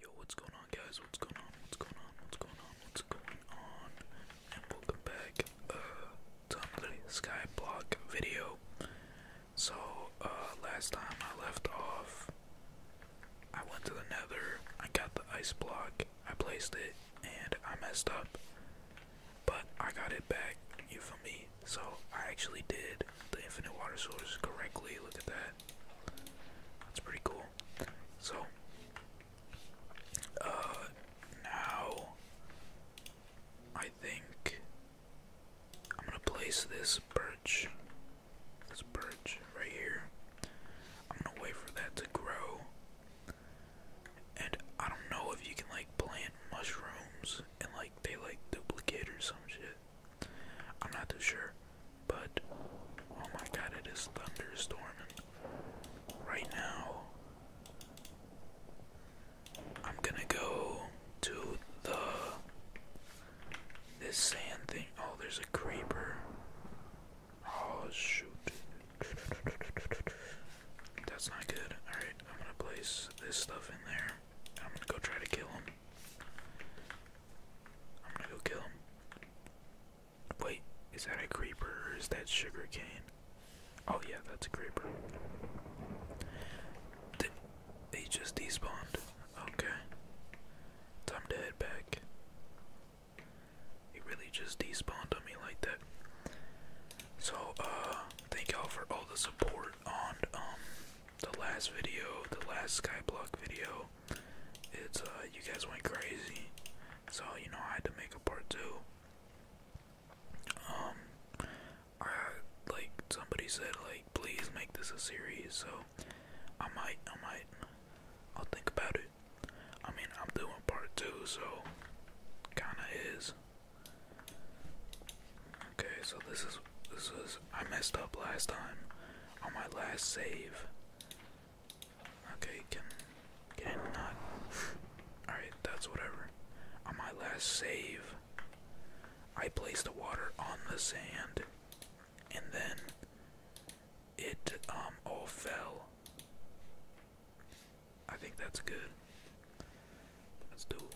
Yo, what's going on, guys? What's going on? What's going on? What's going on? What's going on? And welcome back uh, to another Skyblock video. So, uh, last time I left off, I went to the nether, I got the ice block, I placed it, and I messed up. But I got it back, you feel me? So I actually did the infinite water source correctly. Look at that. That's pretty cool. So uh now I think I'm gonna place this birch. This birch right here. I'm gonna wait for that to grow. And I don't know if you can like plant mushrooms and like they like duplicate or some shit. I'm not too sure, but oh my god, it is thunderstorming right now. I'm gonna go to the this sand thing. Oh, there's a creeper. Oh shoot. That's not good. Alright, I'm gonna place this stuff in there. I'm gonna go try to kill him. I'm gonna go kill him. Wait, is that a creeper or is that sugar cane? Oh yeah, that's a creeper. Did just despawned. Okay. Time to head back. He really just despawned on me like that. So, uh, thank y'all for all the support on, um, the last video, the last Skyblock video, it's uh, you guys went crazy, so you know I had to make a part two. Um, I like somebody said like please make this a series, so I might, I might, I'll think about it. I mean I'm doing part two, so kinda is. Okay, so this is this was I messed up last time on my last save. Okay, can can not? Alright, that's whatever. On my last save, I placed the water on the sand and then it um all fell. I think that's good. Let's do it.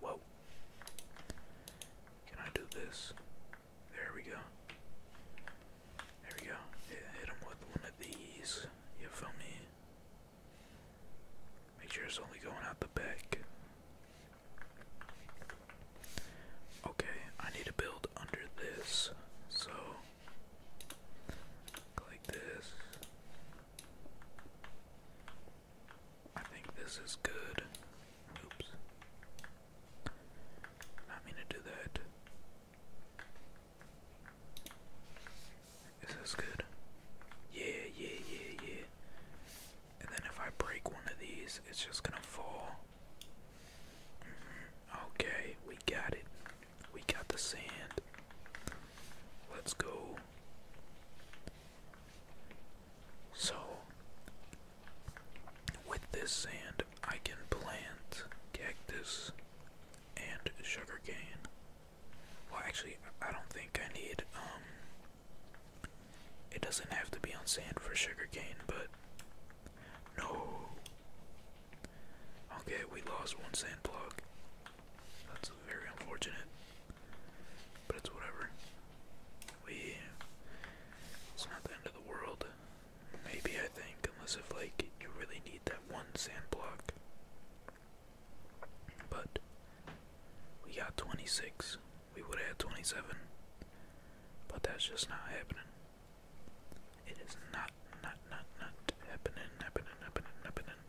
Whoa. Can I do this? There we go. There we go. hit him with one of these. You feel me? Make sure it's only going out the back. Okay, I need to build under this. So, click this. I think this is good. Oops. Not mean to do that. Is this good? Yeah, yeah, yeah, yeah. And then if I break one of these, it's just gonna fall. Mm-hmm. Okay, we got it. We got the sand. Let's go. So, with this sand, I can plant cactus and sugar cane. Well, actually, I don't think I need, um, it doesn't have to be on sand for sugar cane, but no. Okay, we lost one sand plug. That's very unfortunate. But it's whatever. We. It's not the end of the world. Maybe, I think, unless if, like, you really need that one sand block. But. We got 26. We would have had 27. But that's just not happening. It is not, not, not, not happening, happening, happening, happening.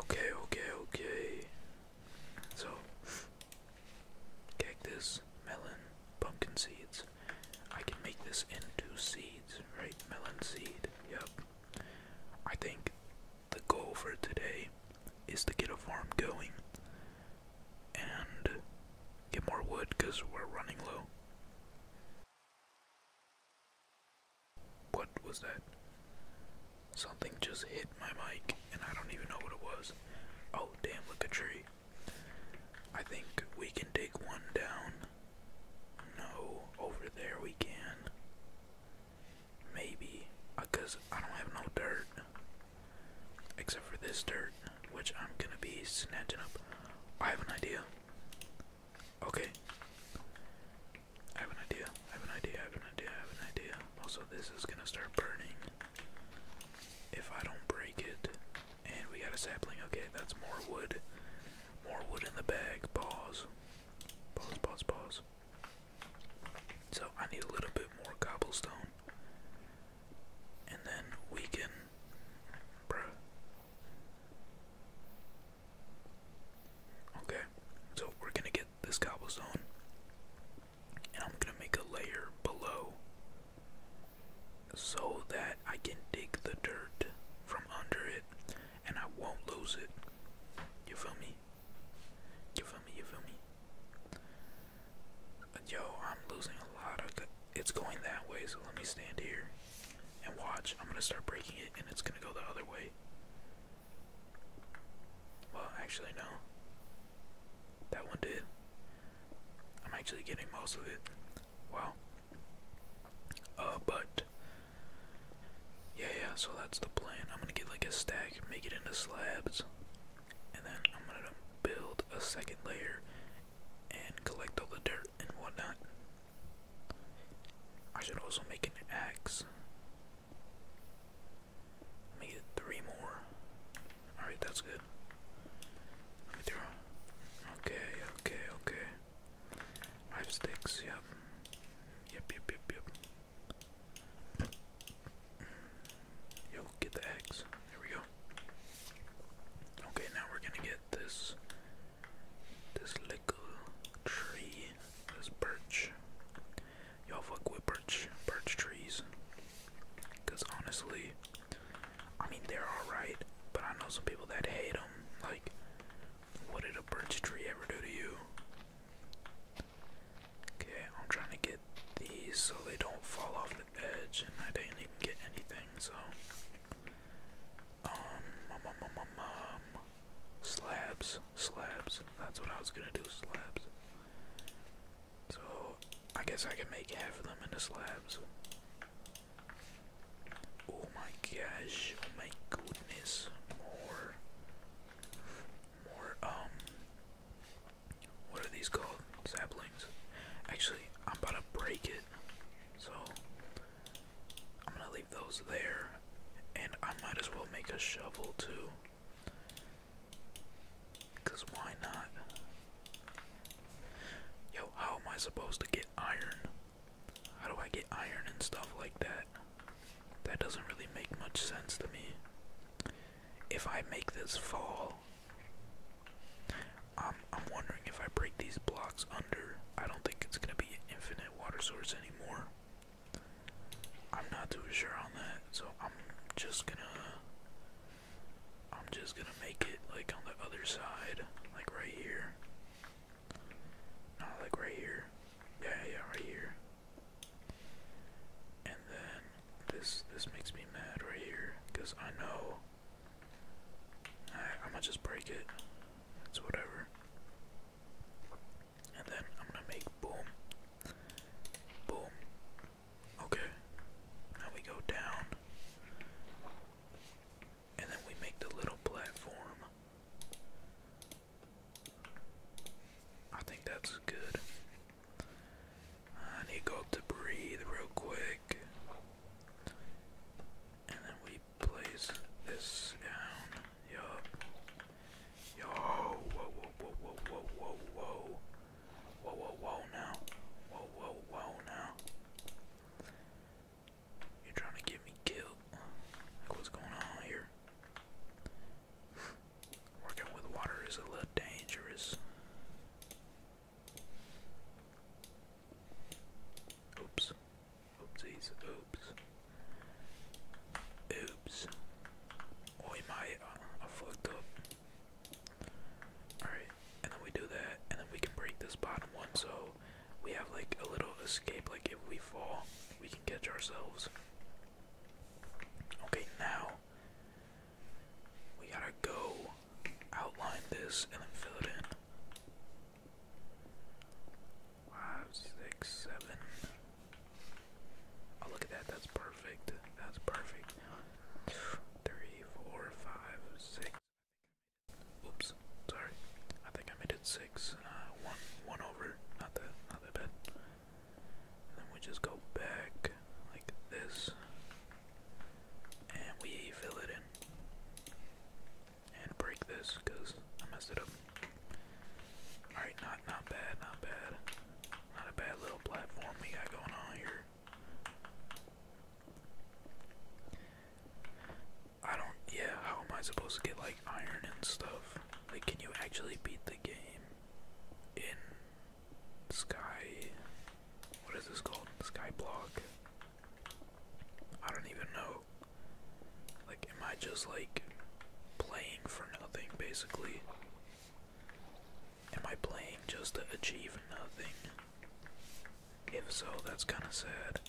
Okay, okay, okay. So, this melon, pumpkin seeds. I can make this into seeds, right? Melon seed, yep. I think the goal for today is to get a farm going and get more wood because we're running low. What was that? Something just hit my mic and I don't even know what it was. Oh, damn, look a tree. I think we can dig one down. No, over there we can. Maybe, because uh, I don't have no dirt. Except for this dirt, which I'm gonna be snatching up. I have an idea. Okay. I have an idea. I have an idea. I have an idea. I have an idea. Also, this is gonna start burning if I don't break it. And we got a sapling. Okay, that's more wood. More wood in the bag. Pause. Pause, pause, pause. So I need a little bit more cobblestone. And then we can. Bruh. Okay, so we're gonna get this cobblestone and I'm gonna make a layer below so that I can dig the dirt from under it and I won't lose it. You feel me? You feel me? You feel me? Yo, I'm losing a lot of. It's going that way, so let me stand here and watch. I'm gonna start breaking it, and it's gonna go the other way. Well, actually, no. That one did. I'm actually getting most of it. Wow. Uh, but. Yeah, yeah, so that's the plan. I'm gonna get like a stack, make it into slabs, and then I'm gonna build a second layer and collect all the dirt and whatnot. I should also make an axe. Let me get three more. Alright, that's good. Let me throw. Okay, okay, okay. Five sticks, yep. Yep, yep, yep, Yo, get the eggs. There we go. Okay, now we're gonna get this this little tree, this birch y'all fuck with birch birch trees. Cause honestly, I mean they're alright, but I know some people that hate them. Like, what did a birch tree ever do to you? Okay, I'm trying to get these so they don't fall off the edge, and I didn't even get anything. So, um slabs slabs. That's what I was gonna do, slabs. So I guess I can make half of them into slabs. Oh my gosh, oh my goodness. More more um what are these called? Saplings. Actually, I'm about to break it. So I'm gonna leave those there. And I might as well make a shovel too. Cause why not? Yo, how am I supposed to get iron? How do I get iron and stuff like that? That doesn't really make much sense to me. If I make this fall, I'm, I'm wondering if I break these blocks under, I don't think it's gonna be an infinite water source anymore. I'm not too sure on that, so I'm just gonna I'm just gonna make it like on the other side, like right here. Not like right here. Yeah, yeah, right here. And then this this makes me mad right here, cause I know. I'm gonna just break it. It's whatever and then I'm gonna make boom, boom. Okay, now we go down, and then we make the little platform. I think that's good. I need to go up to breathe real quick. And then we place this down. Yup. Yo, whoa, whoa, whoa, whoa, whoa, whoa, whoa. Whoa, whoa, whoa now. Whoa, whoa, whoa now. You're trying to get me killed. Like, what's going on here? Working with water is a little dangerous. Oops. Oopsies. Oops. Oops. Oh, he um, I fucked up. Alright, and then we do that, and then we can break this bottom one so we have like a little escape. Like if we fall, we can catch ourselves. Okay, now we gotta go outline this and then fill it in. Five, six, seven. Oh, look at that. That's perfect. That's perfect. Three, four, five, six. Oops. Sorry. I think I made it six. Uh, one, one over. Not that, not that bad. then we just go back like this, and we fill it in, and break this because I messed it up. All right, now not bad, not bad. Not a bad little platform we got going on here. I don't yeah, how am I supposed to get like iron and stuff? Like can you actually beat the game in Sky what is this called? Skyblock? I don't even know. Like am I just like playing for nothing basically? Am I playing just to achieve nothing? If so, that's kind of sad.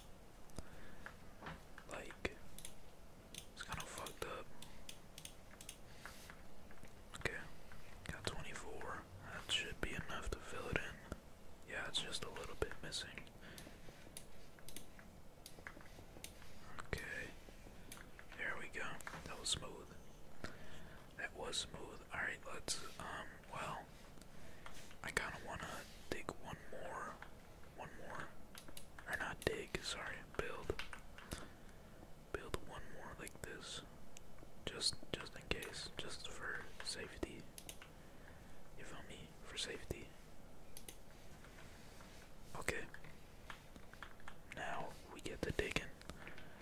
Like, it's kind of fucked up. Okay, got 24. That should be enough to fill it in. Yeah, it's just a little bit missing. Okay. There we go. That was smooth. That was smooth. Alright, let's, um, well, I kind of want to dig one more, one more, or not dig, sorry, build, build one more like this, just, just in case, just for safety, you feel me, for safety. Okay, now we get to digging.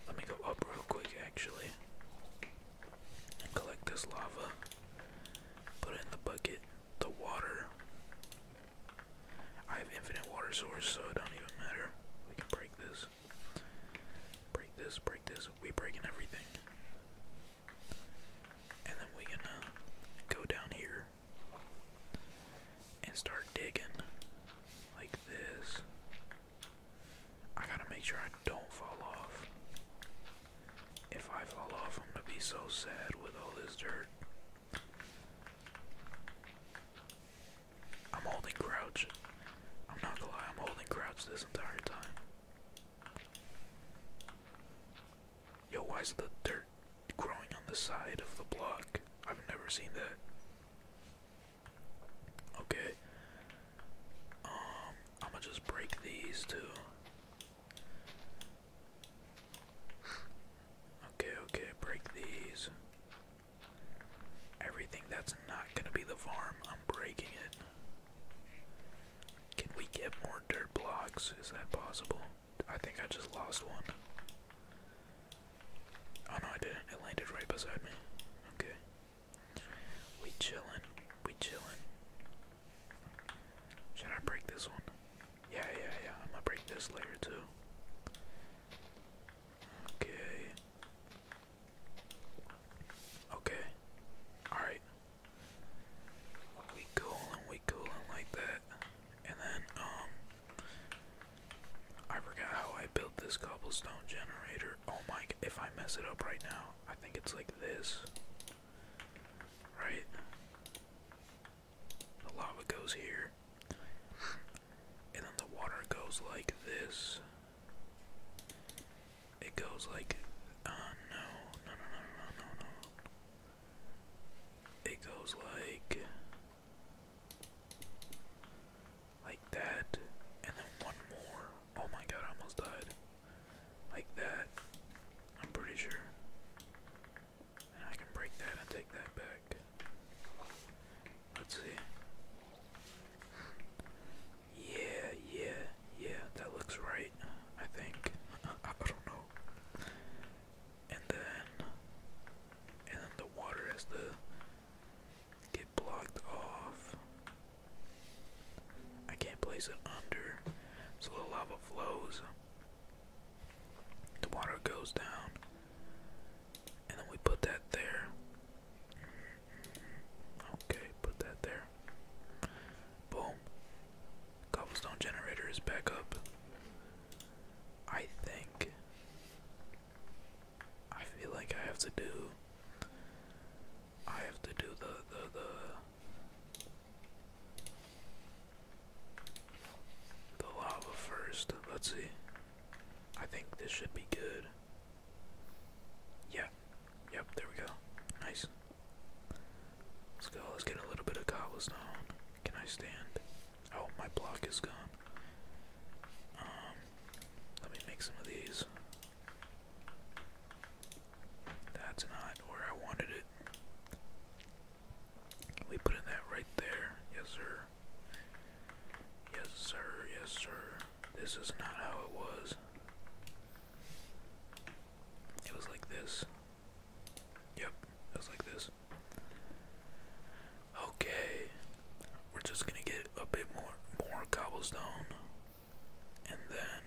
Let me go up real quick, actually, and collect this lava. Put it in the bucket. The water. I have infinite water source, so it don't even matter. We can break this. Break this, break this. We breaking everything. And then we going go down here and start digging like this. I gotta make sure I don't fall off. If I fall off, I'm gonna be so sad with all this dirt. I'm holding crouch. I'm not gonna lie, I'm holding crouch this entire time. Yo, why is the dirt growing on the side of the block? I've never seen that. Okay. Um, I'm gonna just break these two. Okay, okay, break these. Everything that's not gonna be the farm, I'm breaking it. Can we get more dirt blocks? Is that possible? I think I just lost one. Oh know I didn't. It landed right beside me. Okay. We chilling. We chilling. Should I break this one? Yeah, yeah, yeah. I'm gonna break this later too. Okay. Okay. Alright. We coolin', we coolin' like that. And then, um, I forgot how I built this cobblestone generator. Oh my, if I mess it up right now, I think it's like this. Right? The lava goes here. And then the water goes like this. It goes like. Uh, no, no, no, no, no, no, no. It goes like. Like that. And then one more. Oh my god, almost died. Like that. I'm pretty sure. And I can break that and take that back. Let's see. Yeah, yeah, yeah, that looks right, I think. I don't know. And then and then the water has the Get blocked off. I can't place it under. So the lava flows. The water goes down. And then we put that there. Okay, put that there. Boom. Cobblestone generator is back up. I think I feel like I have to do I have to do the the the the lava first. Let's see. I think this should be good. Yeah. Yep, there we go. Nice. Let's go. Let's get a little bit of cobblestone. Can I stand? Oh, my block is gone. Um, let me make some of these. That's not where I wanted it. We put in that right there. Yes, sir. Yes, sir. Yes, sir. This is not how it was. It was like this. Yep, it was like this. Okay, we're just gonna get a bit more more cobblestone, and then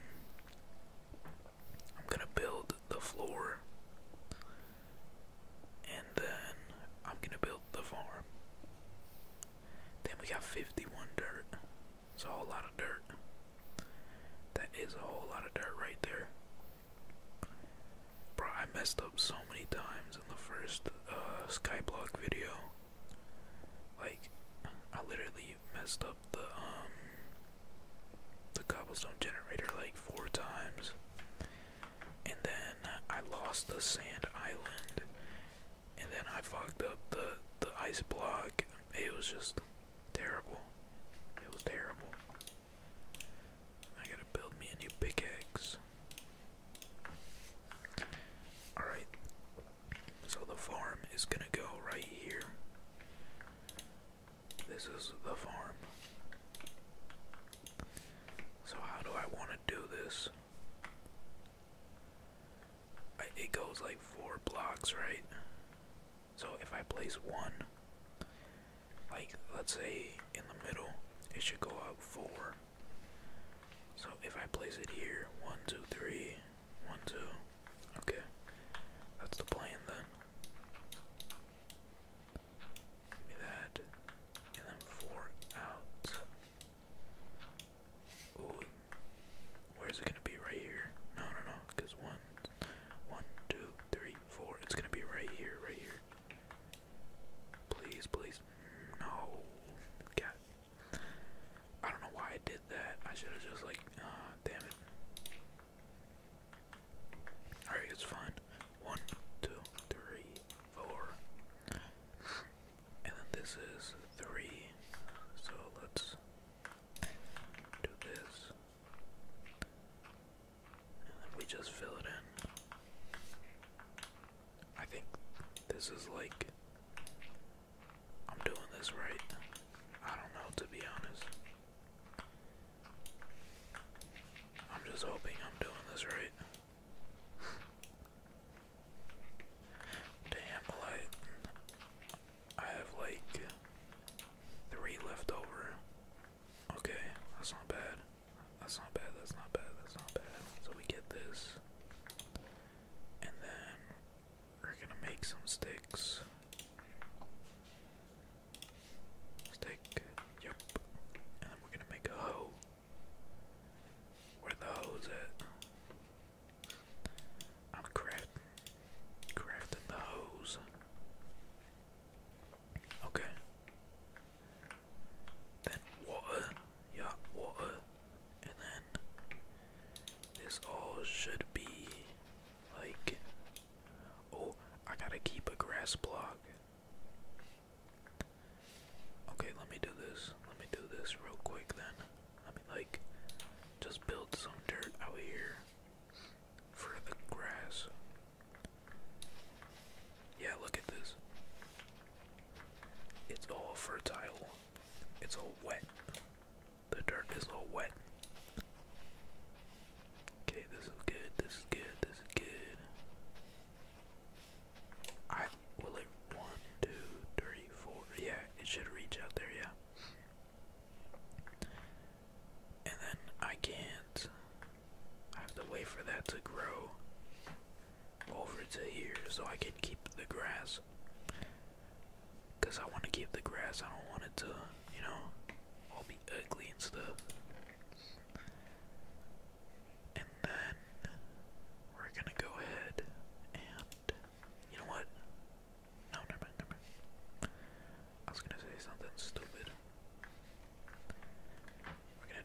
I'm gonna build the floor, and then I'm gonna build the farm. Then we got 51 dirt. It's a whole lot of dirt. That is a whole lot of dirt right there. Bro, I messed up so many times in the first uh, Skyblock video. Like, I literally messed up the um, the cobblestone generator like four times, and then I lost the sand island, and then I fucked up the the ice block. It was just terrible. It was terrible. I gotta build me a new pickaxe. Alright. So the farm is going to go right here. This is the farm. So how do I want to do this? it goes like four blocks, right? So if I place one, like let's say in the middle, it should go out four. So if I place it here, one, two, three, one, two. Okay. That's the plan then. Give me that. And then four out. Ooh. Where's it gonna be? Right here? No, no, no. Because one, one, two, three, four. It's gonna be right here, right here. Please, please. No. God. I don't know why I did that. I should have just, like, uh, damn it. Alright, it's fine. One, two, three, four. And then this is three. So let's do this. And then we just fill it in. I think this is like I'm doing this right. I don't know to be honest. I'm just hoping I'm doing this right. Damn, like I have like three left over. Okay, that's not bad. That's not bad, that's not bad, that's not bad. So we get this. And then we're gonna make some sticks. Stick, yep. And then we're gonna make a hoe. Where the hoes at? I'm crafting, crafting the hose. Okay. Then water, yeah, water, and then this all should be like. Oh, I gotta keep a grass block. Okay, let me do this. Let me do this real quick then. Let me like just build some dirt out here for the grass. Yeah, look at this. It's all fertile. It's all wet. The dirt is all wet. Okay, this is good, this is good, this is good. I will it one, two, three, four. Yeah, it should reach out there, yeah. And then I can't I have to wait for that to grow over to here so I can keep the grass. Because I want to keep the grass, I don't want it to, you know, all be ugly and stuff. And then we're gonna go ahead and you know what? No, never mind, I was gonna say something stupid. We're gonna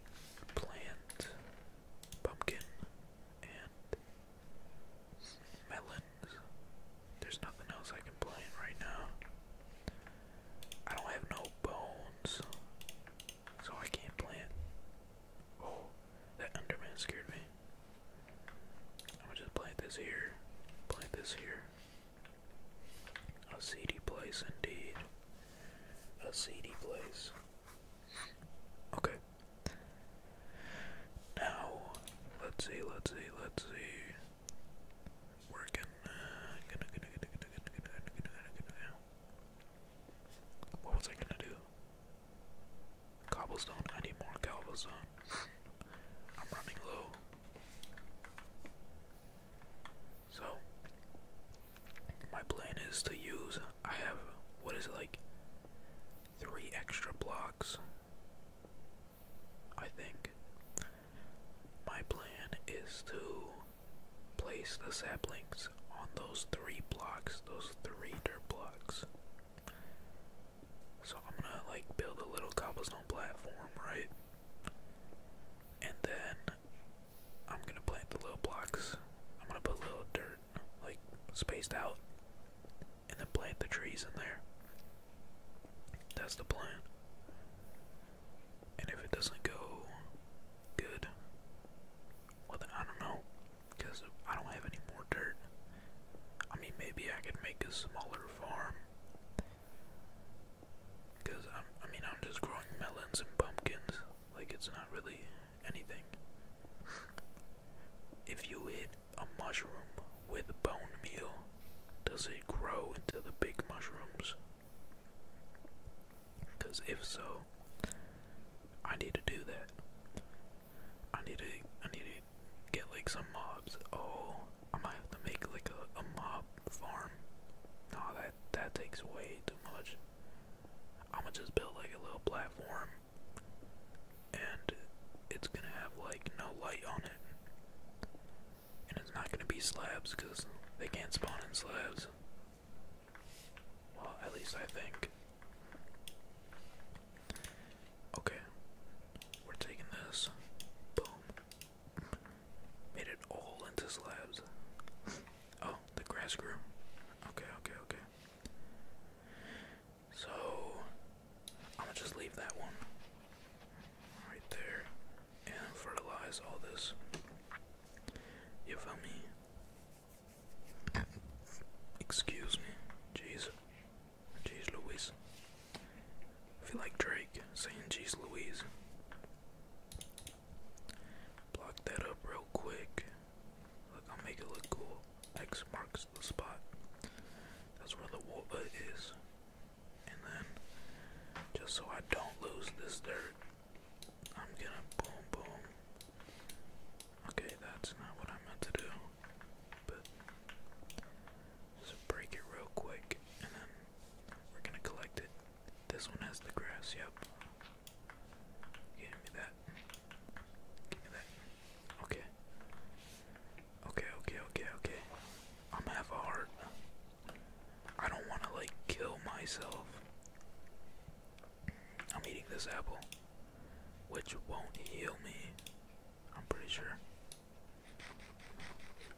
plant pumpkin, and melons. There's nothing else I can plant right now. I don't have no bones, so I can't plant. Oh, that Underman scared me. I'm gonna just plant this here, plant this here. A seedy place indeed. A seedy place. Okay. Now, let's see, let's see, let's see. we What was I gonna do? Cobblestone? I need more cobblestone. I'm running low. So, my plan is to use I have what is it like three extra blocks I think my plan is to place the saplings on those three blocks those three dirt blocks so I'm gonna like build a little cobblestone platform right and then I'm gonna plant the little blocks. I'm gonna put little dirt, like spaced out, and then plant the trees in there. That's the plan. And if it doesn't go good, well then I don't know, because I don't have any more dirt. I mean, maybe I could make a smaller farm. Because, I mean, I'm just growing melons and pumpkins. Like, it's not really anything. If you hit a mushroom with bone meal, does it grow into the big mushrooms? Because if so, I need to do that. I need to, I need to get like some mobs. Oh, I might have to make like a, a mob farm. No, oh, that takes way too much. I'ma just build like a little platform and it's gonna have like no light on it. And it's not gonna be slabs because they can't spawn in slabs. Well, at least I think. Okay. We're taking this. Boom. Made it all into slabs. Oh, the grass grew. Okay, okay, okay. So, I'm gonna just leave that one right there and fertilize all this. You feel me? Excuse me. Jeez. Jeez Louise. I feel like Drake saying Jeez Louise. Block that up real quick. Look, I'll make it look cool. X marks the spot. That's where the water is. And then, just so I don't lose this dirt, I'm gonna boom, boom. Okay, that's not what I meant to do. But, just break it real quick, and then we're gonna collect it. This one has the grass, yep. Give me that. Give me that. Okay. Okay, okay, okay, okay. I'm half heart. I don't want to, like, kill myself. I'm eating this apple, which won't heal me. I'm pretty sure.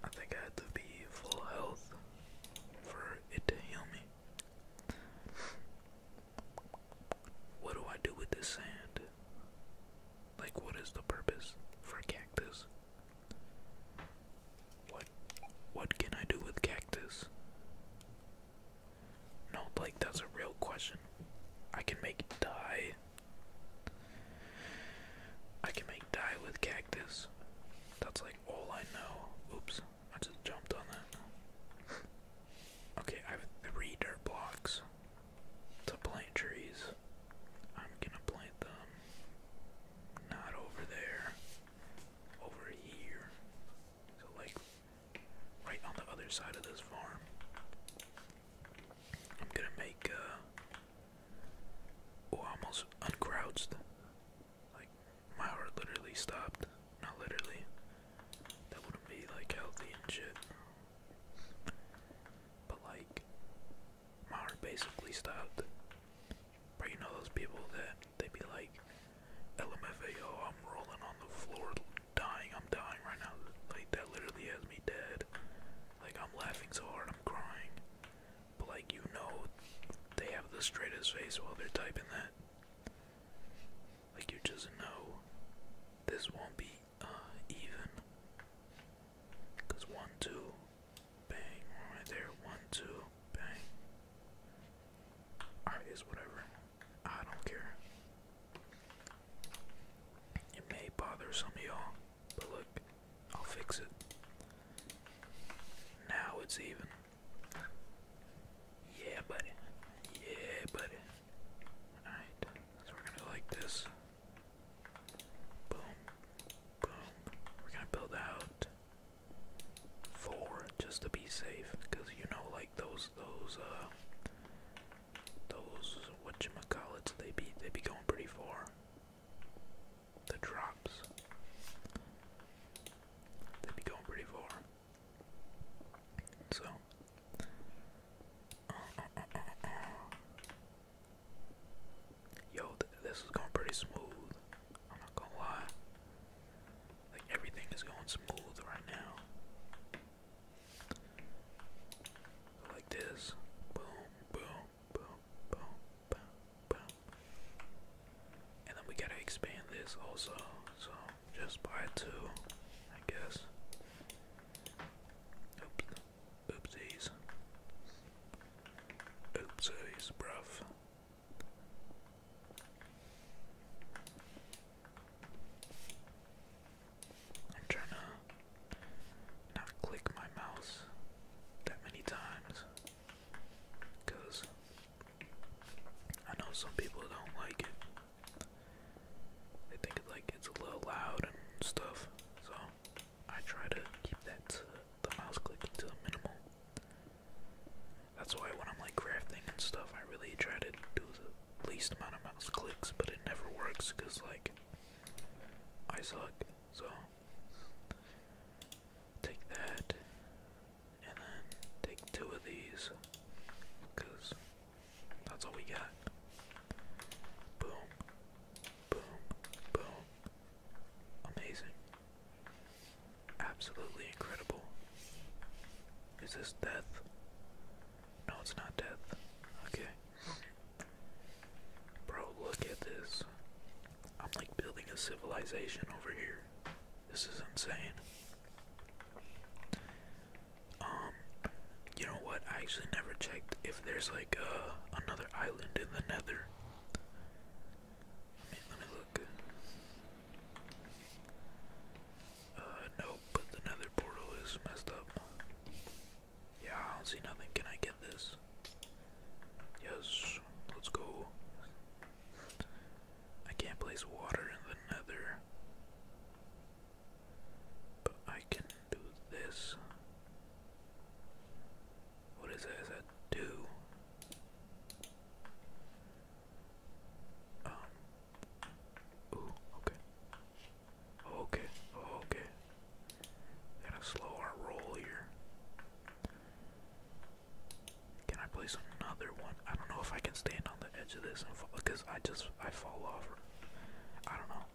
I think I had to be full health for it to heal me. What do I do with this sand? Like, what is the purpose for cactus? What what can I do with cactus? No, like that's a real question. I can make dye. I can make dye with cactus. That's like all I know. Oops. I just jumped on that. Okay, I have three dirt blocks to plant trees. I'm gonna plant them not over there, over here. So, like, right on the other side of this farm. I'm gonna make, uh, oh, almost uncrouched. Like, my heart literally stopped. Not literally. That wouldn't be like healthy and shit. But like, my heart basically stopped. But you know those people that they be like, LMFAO, I'm rolling on the floor, dying, I'm dying right now. Like, that literally has me dead. Like, I'm laughing so hard, I'm crying. But like, you know, they have the straightest face while they're typing that. Like you just know this won't be uh, even. Because one, two, bang, right there, one, two, bang. Alright, it's whatever. I don't care. It may bother some of y'all, but look, I'll fix it. Now it's even. Yeah, buddy. Yeah, buddy. Alright, so we're gonna like this. Boom. Boom. We're gonna build out four just to be safe. you know like those those uh those whatchamacallits they be they be going pretty far. The drops. they be going pretty far. So, yo, this is going pretty smooth. I'm not gonna lie. Like everything is going smooth right now. Like this, boom, boom, boom, boom, boom, boom. And then we gotta expand this also. So just buy two, I guess. Oopsies. Oopsies, bruv. I'm trying to not click my mouse that many times because I know some people don't like it. They think like it's a little loud and stuff. So I try to keep that the mouse clicking to a minimal. That's why when I'm like crafting and stuff, I really try to do the least amount of mouse clicks, but it never works because like I suck. So take that and then take two of these because that's all we got. Boom, boom, boom. Amazing. Absolutely incredible. Is this death? No, it's not death. Okay. Bro, look at this. I'm like building a civilization over here. This is insane. Um, you know what? I actually never checked if there's like uh, another island in the Nether. let me look. Uh, nope, but the Nether portal is messed up. Yeah, I don't see nothing. Can I get this? Yes, let's go. I can't place water in the nether. But I can do this. What is that? Is that two? Um. okay. Okay, okay. Gotta slow our roll here. Can I place another one? I don't know if I can stand on the edge of this and fall because I just I fall off. I don't know.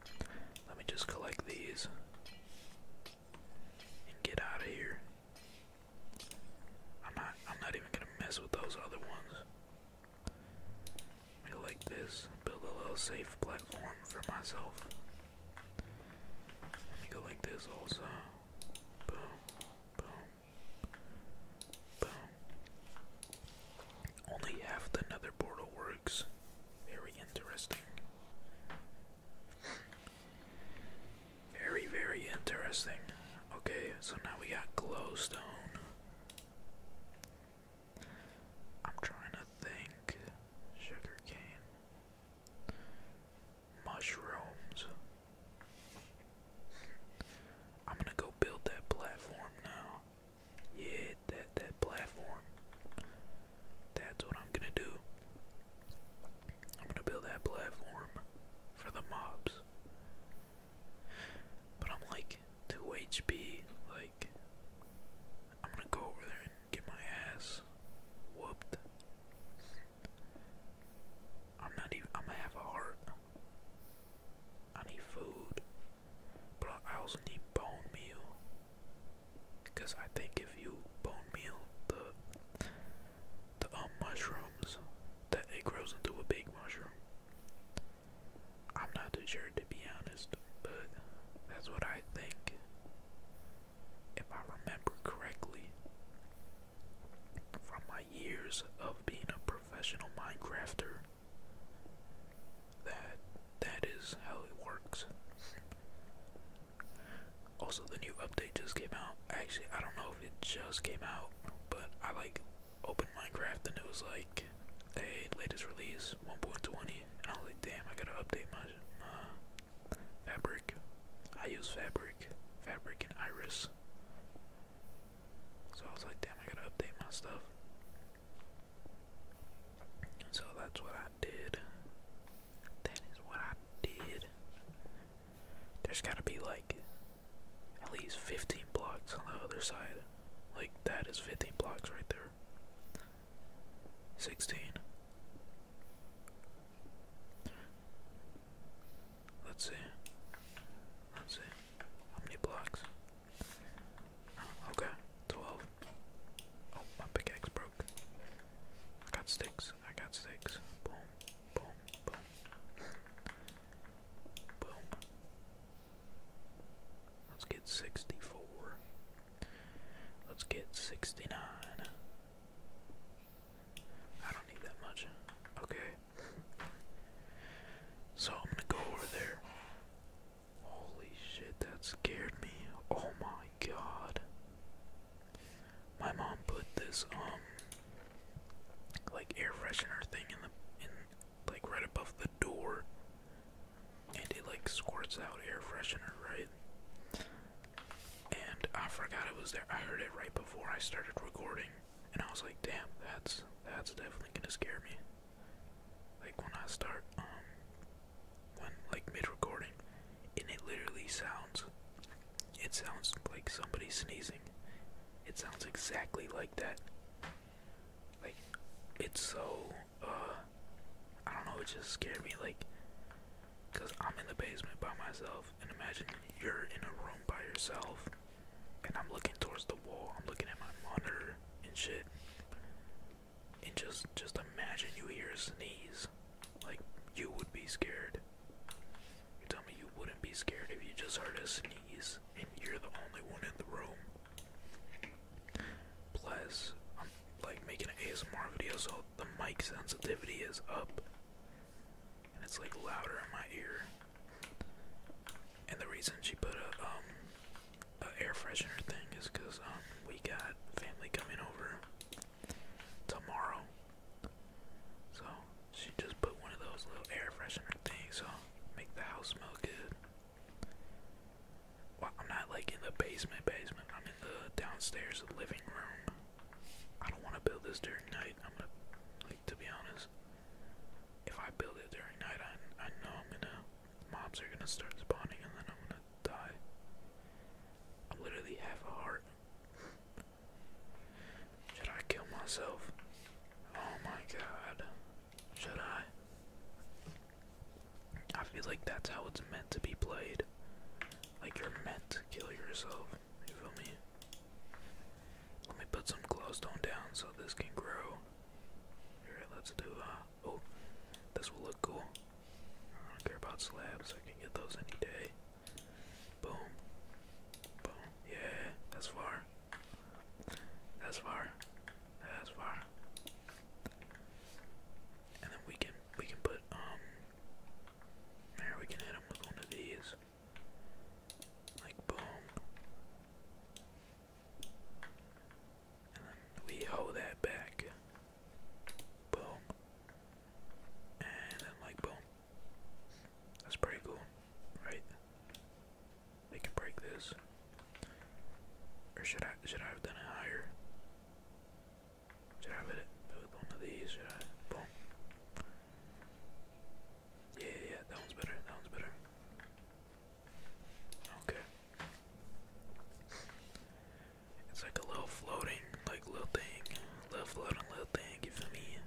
Let me just collect these and get out of here. I'm not I'm not even gonna mess with those other ones. I like this. Build a little safe platform for myself. Let me go like this also. Boom. Boom. Boom. Only half the nether portal works. Very interesting. Very, very interesting. Okay, so now we got glowstone. I'm trying to think. Sugarcane mushrooms. I'm gonna go build that platform now. Yeah, that that platform. That's what I'm gonna do. I'm gonna build that platform for the mobs. But I'm like two HP, like I'm gonna go over there and get my ass whooped. I'm not even I'm gonna have a heart. I need food, but I also need bone meal. Because I think if you bone meal the the um mushrooms, that it grows into a big mushroom. I'm not sure to be honest, but that's what I think. If I remember correctly, from my years of being a professional Minecrafter, that that is how it works. Also, the new update just came out. Actually, I don't know if it just came out, but I like open Minecraft and it was like, a latest release 1.20," I was like, "Damn, I gotta update my fabric." I use fabric, fabric and iris. So I was like, damn, I gotta update my stuff. So that's what I did. That is what I did. There's gotta be like at least 15 blocks on the other side. Like, that is 15 blocks right there. 16. Let's see. Let's see. How many blocks? okay, 12. Oh, my pickaxe broke. I got sticks. I got sticks. Boom, boom, boom. Boom. Let's get 64. Let's get 69. I don't need that much. Okay, so I'm gonna go over there. Holy shit, that scared me. Oh my god. My mom put this um like air freshener thing in the in like right above the door and it like squirts out air freshener, right? And I forgot it was there. I heard it right before I started recording and I was like, damn, that's that's definitely gonna scare me. Like when I start, um, when like mid recording, and it literally sounds, it sounds like somebody sneezing. It sounds exactly like that. Like it's so, uh, I don't know. It just scared me, like, cause I'm in the basement by myself, and imagine you're in a room by yourself and I'm looking towards the wall, I'm looking at my monitor and shit. And just just imagine you hear a sneeze. Like you would be scared. You tell me you wouldn't be scared if you just heard a sneeze and you're the only one in the room. Plus, I'm like making an ASMR video so the mic sensitivity is up and it's like louder in my ear. And the reason she put a um, air freshener thing is because um, we got family coming over tomorrow, so she just put one of those little air freshener things so make the house smell good. Well, I'm not like in the basement, basement. I'm in the downstairs living room. I don't want to build this during night to be honest, if I build it during night, I I know I'm gonna mobs are gonna start spawning and then I'm gonna die. I literally have a heart. Should I kill myself? Oh my god. Should I? I feel like that's how it's meant to be played. Like you're meant to kill yourself. You feel me? Let me put some glowstone down so this can grow. Alright, let's do, uh, oh, this will look cool. I don't care about slabs, I can get those any day. Boom. Boom. Yeah, that's far. That's far. That's far. And then we can we can put um we can hit him with one of these. Like boom. And then we hoe that back. Boom. And then like boom. That's pretty cool, right? They can break this. Or should I should I have done it higher? Should I have it with one of these? Should I boom? Yeah, yeah, that one's better. That one's better. Okay. It's like a little floating, like little thing, little floating, little thing. You me?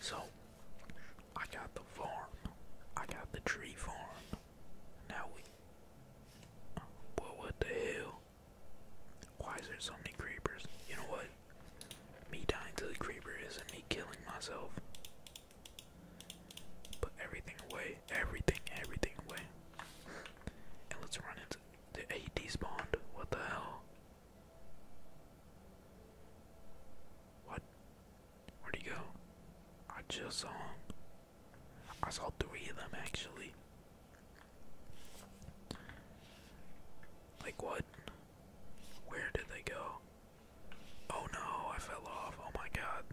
So, I got the farm. I got the tree farm. Now we. Well, what the hell? Why is there so many creepers? You know what? Me dying to the creeper isn't me killing myself. Put everything away. Everything, everything away. And let's run into the AD spawned. What the hell? What? Where'd he go? I just saw him. I saw three of them actually. Like what? Where did they go? Oh no, I fell off. Oh my god.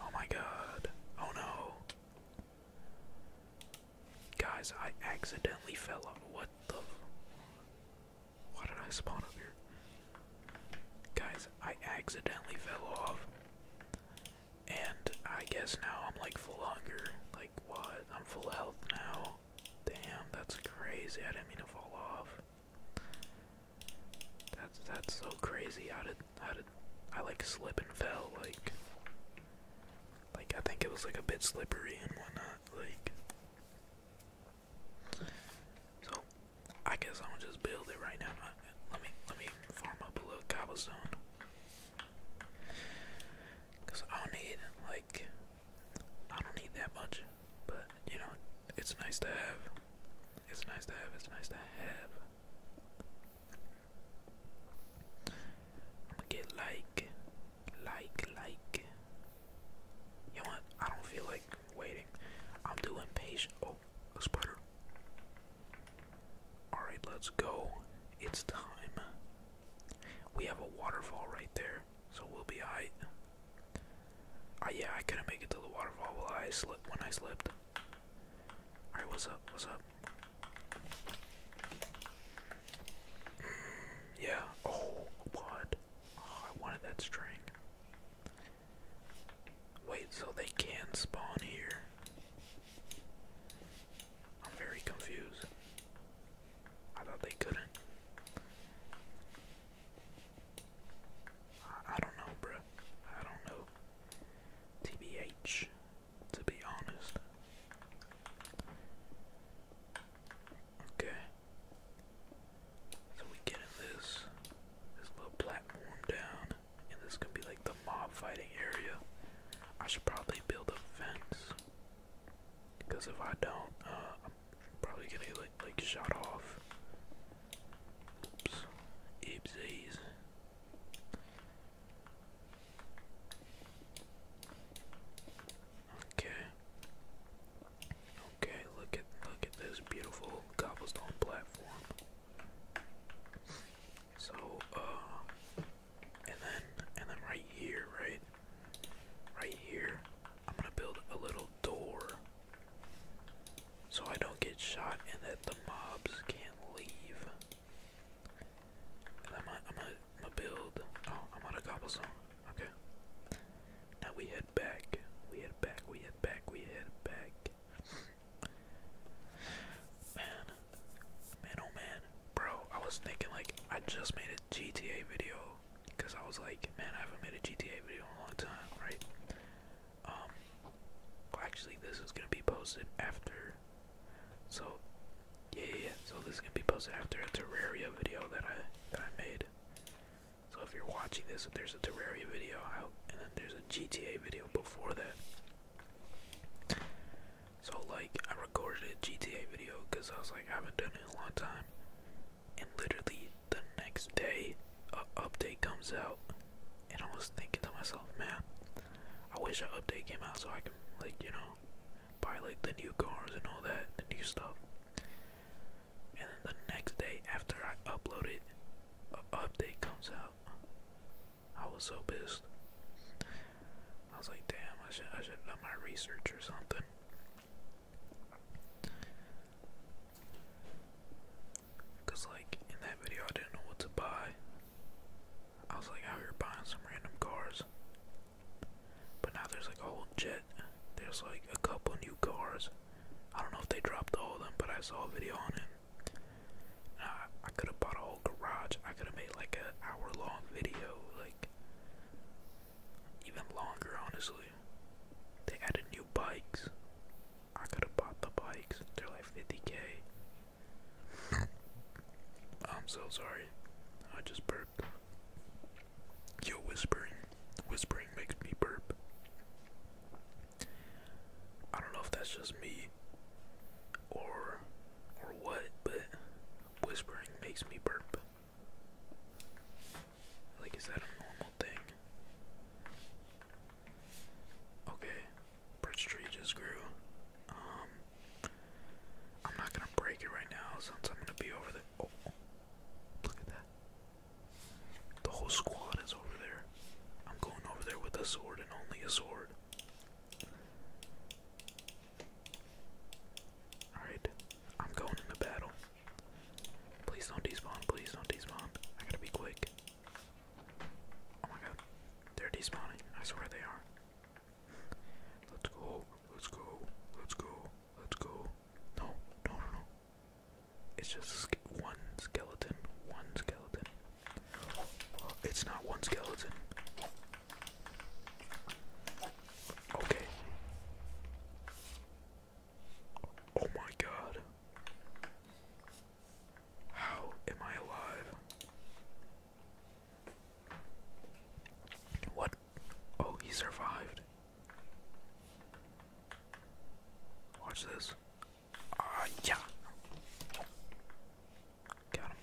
Oh my god. Oh no. Guys, I accidentally fell off. What the? Why did I spawn up here? Guys, I accidentally fell off. And I guess now I'm like full hunger. Like what? I'm full health now. Damn, that's crazy. I didn't mean to fall off. That's that's so crazy. How did how did I like slip and fell like like I think it was like a bit slippery and whatnot, like so I guess I'm gonna just build it right now. Let me let me farm up a little cobblestone. Cause I'll need like I don't need that much, but you know, it's nice to have. It's nice to have, it's nice to have. I'm gonna get like, like, like. You know what? I don't feel like waiting. I'm too impatient. Oh, a spider. Alright, let's go. It's time. We have a waterfall right there, so we'll be high. Oh ah, yeah, I couldn't make it to the waterfall when I slipped. Alright, what's up? What's up? yeah. Oh, what? Oh, I wanted that string. Wait, so they can spawn here? I'm very confused. I thought they couldn't. I, don't know, bruh. I don't know. TBH, to be honest. Okay. So we get this little platform down, and this could be like the mob fighting area. I should probably build a fence. Because if I don't, uh, I'm probably gonna get like, shot off. Oops. Oopsies. Okay. Okay, look at look at this beautiful cobblestone platform. So, uh, and then and then right here, right, right here, I'm gonna build a little door, so I don't get shot and that the mobs can't leave. And I'm gonna, I'm gonna, I'm gonna build. Oh, I'm on a cobblestone. Okay. Now we head back. We head back. We head back. We head back. Man, man, oh man, bro. I was thinking like I just made it GTA video because I was like, man, I haven't made a GTA video in a long time, right? Um, actually, this is gonna be posted after. So, yeah, yeah, yeah. So this is gonna be posted after a Terraria video that I that I made. So if you're watching this, if there's a Terraria video out, and then there's a GTA video before that. So like I recorded a GTA video because I was like I haven't done it in a long time, and literally the next day an update comes out, and I was thinking to myself, man, I wish an update came out so I can like you know buy like the new cars and all that, the new stuff. And then the next day after I uploaded, an update comes out. I was so pissed. I was like, damn, I should I should have done my research or something. Cause like in that video I didn't know what to buy. I was like out here buying some random cars. But now there's like a whole jet. There's like a couple new cars. I don't know if they dropped all them, but I saw a video on it. I, I could have bought a whole garage. I could have made like an hour long video, like even longer, honestly. They added new bikes. I could have bought the bikes. They're like 50k. I'm so sorry. I just burped. You're whispering. Whispering makes me burp. I don't know if that's just me or or what, but whispering makes me burp. Like, is that a normal thing? Okay, birch tree just grew. Um, I'm not gonna break it right now since I'm gonna be over there. Oh, oh, look at that. The whole squad is over there. I'm going over there with a sword and only a sword. Alright, I'm going in the battle. Please don't despawn. Please don't despawn. I gotta be quick. Oh my god. They're despawning. I swear they are. Let's go. Let's go. Let's go. Let's go. No. No, no, no. It's just one skeleton. One skeleton. It's not one skeleton. Okay. Oh my god. How am I alive? What? Oh, he survived. Watch this. Ah, yeah. Got him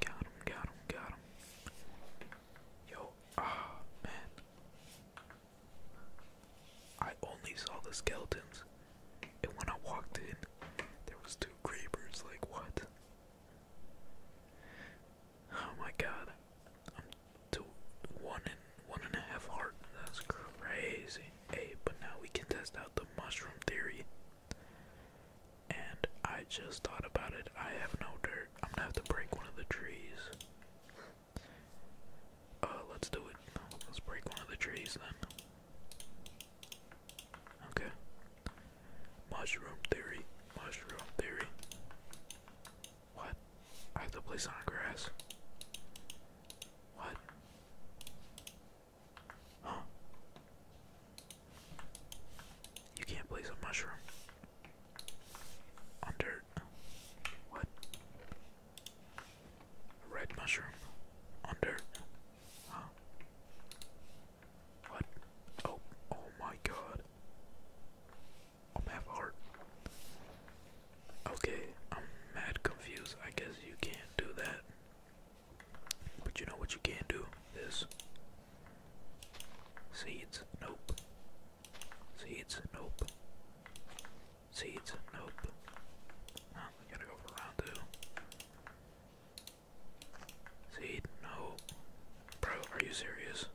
got him, got him, got him. Yo, ah, man. I only saw the skeletons, and when I walked in, there was two creepers. Like what? Oh my god, I'm two, one and one and a half heart. That's crazy. Hey, but now we can test out the mushroom theory. And I just thought about it. I have no dirt. I'm gonna have to break one of the trees. Uh, let's do it. Let's break one of the trees then. Okay. Mushroom theory. Mushroom theory. What? I have to place on grass. What? You can't place a mushroom on What? red mushroom on What? Oh, oh my god. I'm half heart. Okay, I'm mad confused. I guess you can't do that. But you know what you can do is seeds, nope. Seeds, nope. Seeds, nope. Oh, we gotta go for two. Seed, no. Bro, are you serious?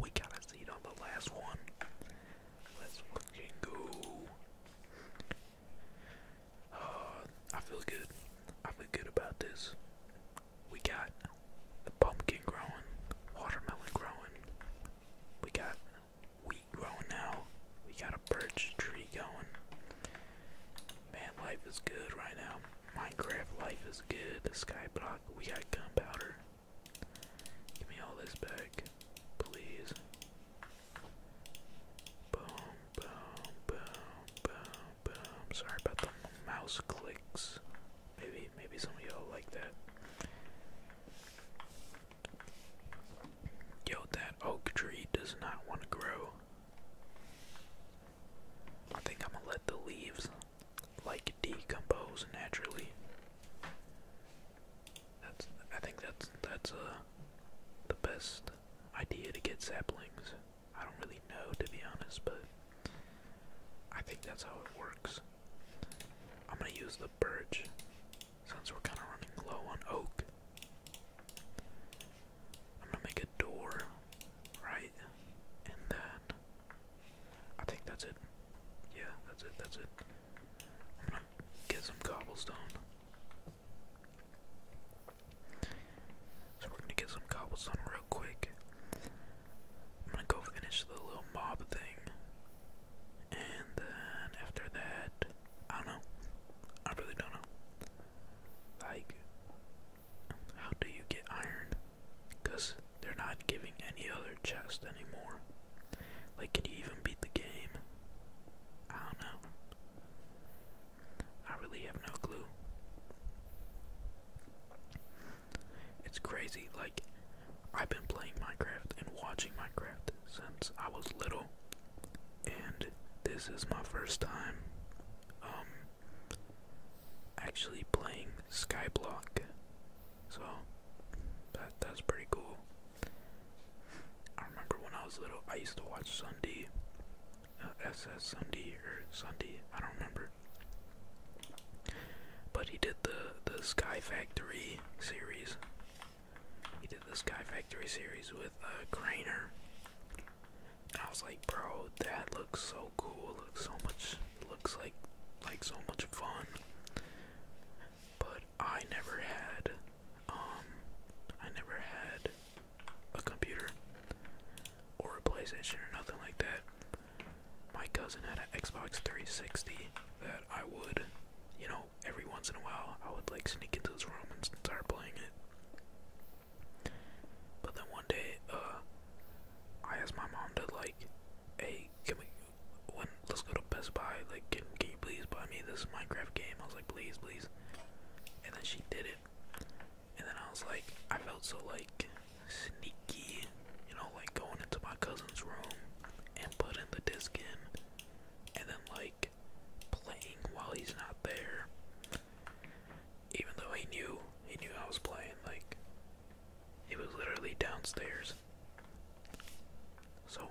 We got a seed on the last one. Let's fucking go. I feel good. I feel good about this. We got the pumpkin growing, watermelon growing. We got wheat growing now. We got a birch tree going. Man, life is good right now. Minecraft life is good. The skyblock. We got gunpowder. Give me all this back, please. Boom, boom, boom, boom, boom. Sorry about the mouse clicks. Maybe, maybe some of y'all like that. Yo, that oak tree does not want to grow. I think I'm gonna let the leaves like decompose naturally. That's I think that's that's uh the best idea to get saplings. I don't really know, to be honest, but I think that's how it works. I'm gonna use the birch since we're kind of running low on oak. I'm gonna make a door, right? And I think that's it. Yeah, that's it, that's it. get some cobblestone. So we're gonna get some cobblestone real quick. I'm gonna go finish the little mob thing. And then after that, I don't know. I really don't know. Like, how do you get iron? Because they're not giving any other chest anymore. Like, can you even beat the game? I don't know. I really have no clue. It's crazy, like, I've been playing Minecraft and watching Minecraft since I was little, and this is my first time, um, actually playing Skyblock, so that, that's pretty cool. I remember when I was little, I used to watch Sunday SS uh, Sunday or Sunday, I don't remember. But he did the the Sky Factory series. He did the Sky Factory series with uh, Craner. I was like, bro, that looks so cool. looks so much. looks like like so much fun. But I never had. Um, I never had a computer or a PlayStation or nothing like that. My cousin had an Xbox 360 that I would, you know, every once in a while I would like sneak into his room and start playing it. But then one day, uh, I asked my mom to like, hey, can we, let's go to Best Buy, like, can, can you please buy me this Minecraft game? I was like, please, please. And then she did it. And then I was like, I felt so like sneaky, you know, like going into my cousin's room and putting the disc in and then like playing while he's not there. Even though he knew, he knew I was playing, like, he was literally downstairs. So,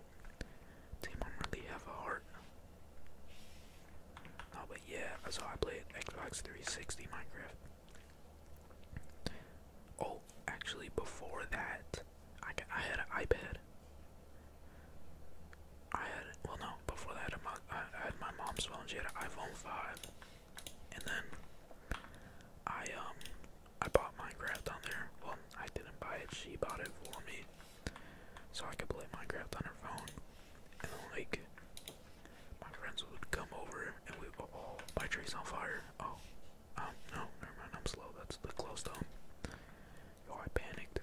team, i really have a heart Oh, but yeah, that's how I played Xbox 360 Minecraft. Oh, actually, before that, I, I had an iPad. I had, well, no, before that, my, my mom's phone. She had an iPhone 5. And then I, um, I bought Minecraft on there. Well, I didn't buy it, she bought it for me so I could play Minecraft on her phone. And then, like, my friends would come over and we would oh, all, oh, my tree's on fire. Oh, um, no, never mind, I'm slow. That's the close to home. Yo, I panicked.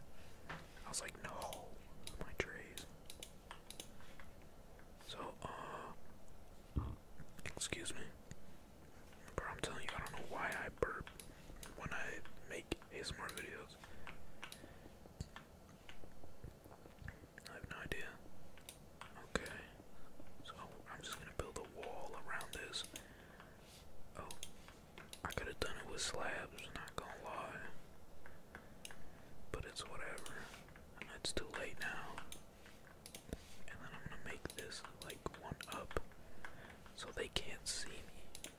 I was like, no, my trees. So, uh, excuse me. Bro, I'm telling you, I don't know why I burp when I make ASMR videos. I have no idea. Okay. So I'm just gonna build a wall around this. Oh. I could have done it with slabs, not gonna lie. But it's whatever. it's too late now. And then I'm gonna make this like one up so they can't see me.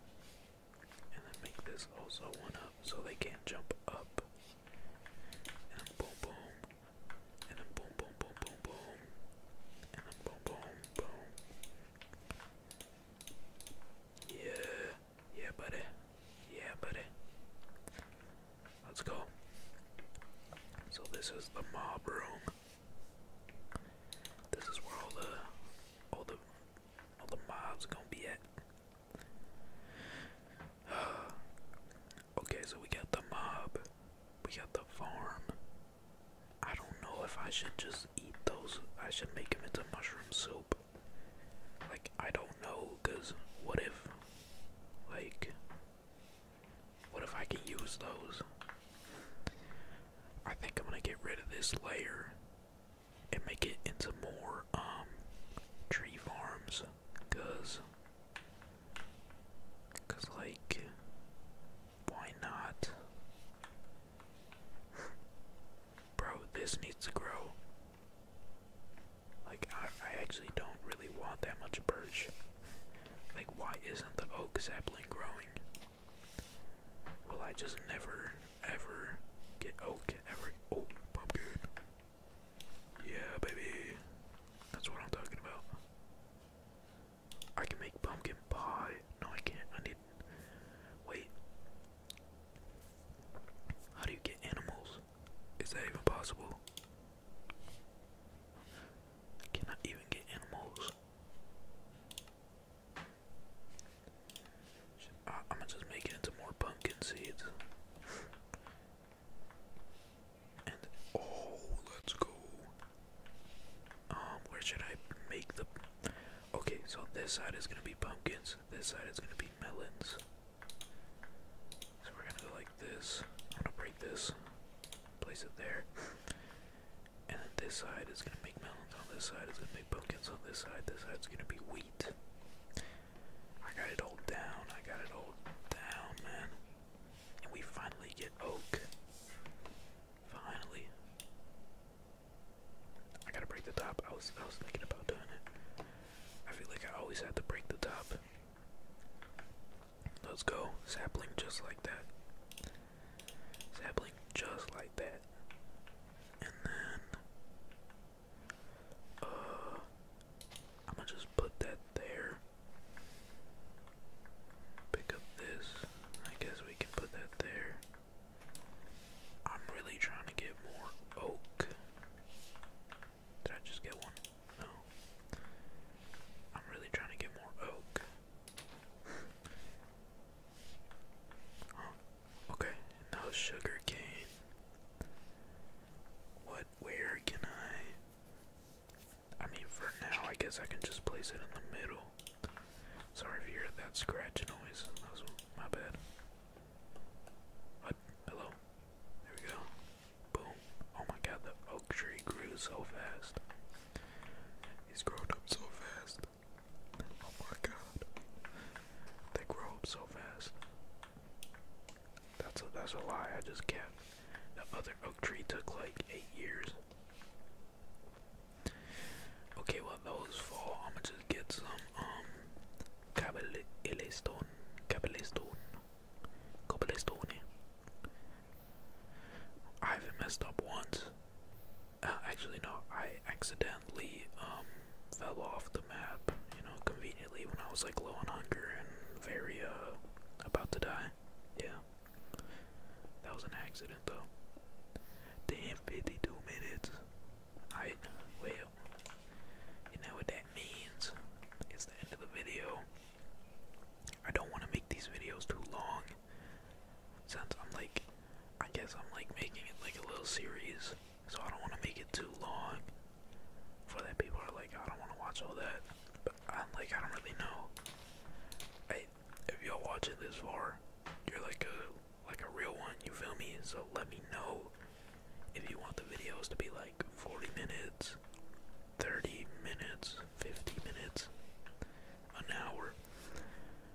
And then make this also one up so they can't jump up. And boom, boom. And then boom, boom, boom, boom, boom. And then boom, boom, boom. Yeah. Yeah, buddy. Yeah, buddy. Let's go. So, this is the mob room. This is where all the all the all the mobs gonna be at. okay, so we got the mob. We got the farm. I don't know if I should just eat those. I should make them into mushroom soup. Like, I don't know, because what if, like, what if I can use those? I think I'm gonna get rid of this layer and make it into more um tree farms cuz cuz like why not bro this needs to grow like I, actually don't really want that much birch like why isn't the oak sapling growing Well, I just never ever get oh ever oh pop Yeah baby. That's what I'm talking about. I can make pumpkin pie. No I can't. I need wait. How do you get animals? Is that even possible? I even get animals. I'm gonna just make it into more pumpkin seeds. and oh, let's go. Um, where should I make the? Okay, so this side is gonna be pumpkins. This side is gonna be melons. So we're gonna go like this. I'm gonna break this, place it there, and then this side is gonna make melons. On this side is gonna make pumpkins. On this side, this side is gonna be I got it all down. I got it all down, man. And we finally get oak. Finally. I gotta break the top. I was I was thinking about doing it. I feel like I always had to break the top. Let's go. Sapling just like that. Sapling just like that. And then uh, I'm gonna just put that there. Pick up this. I guess we can put that there. I'm really trying to get more oak. Did I just get one? No. I'm really trying to get more oak. Oh, Okay, now sugar cane. What, where can I? I mean, for now, I guess I can just place it in the middle. Sorry if that scratch noise. my bad. What? Hello? There we go. Boom. Oh my god, the oak tree grew so fast. He's grown up so fast. Oh my god. They grow up so fast. That's a that's a lie, I just can't. That other oak tree took like eight years. Okay, well those fall. I'ma just get some um cobblestone. Cobblestone. Cobblestone. I have messed up once. Uh, actually no, I accident um, fell off the map, you know, conveniently when I was like low on hunger and very uh, about to die. Yeah. That was an accident though. Damn 52 minutes. I well you know what that means. It's the end of the video. I don't want to make these videos too long. Since I'm like I guess I'm like making it like a little series so I don't want to make it too long. For that, people are like, I don't want to watch all that. But I'm like, I don't really know. Hey, if y'all watching this far, you're like a like a real one. You feel me? So let me know if you want the videos to be like 40 minutes, 30 minutes, 50 minutes, an hour.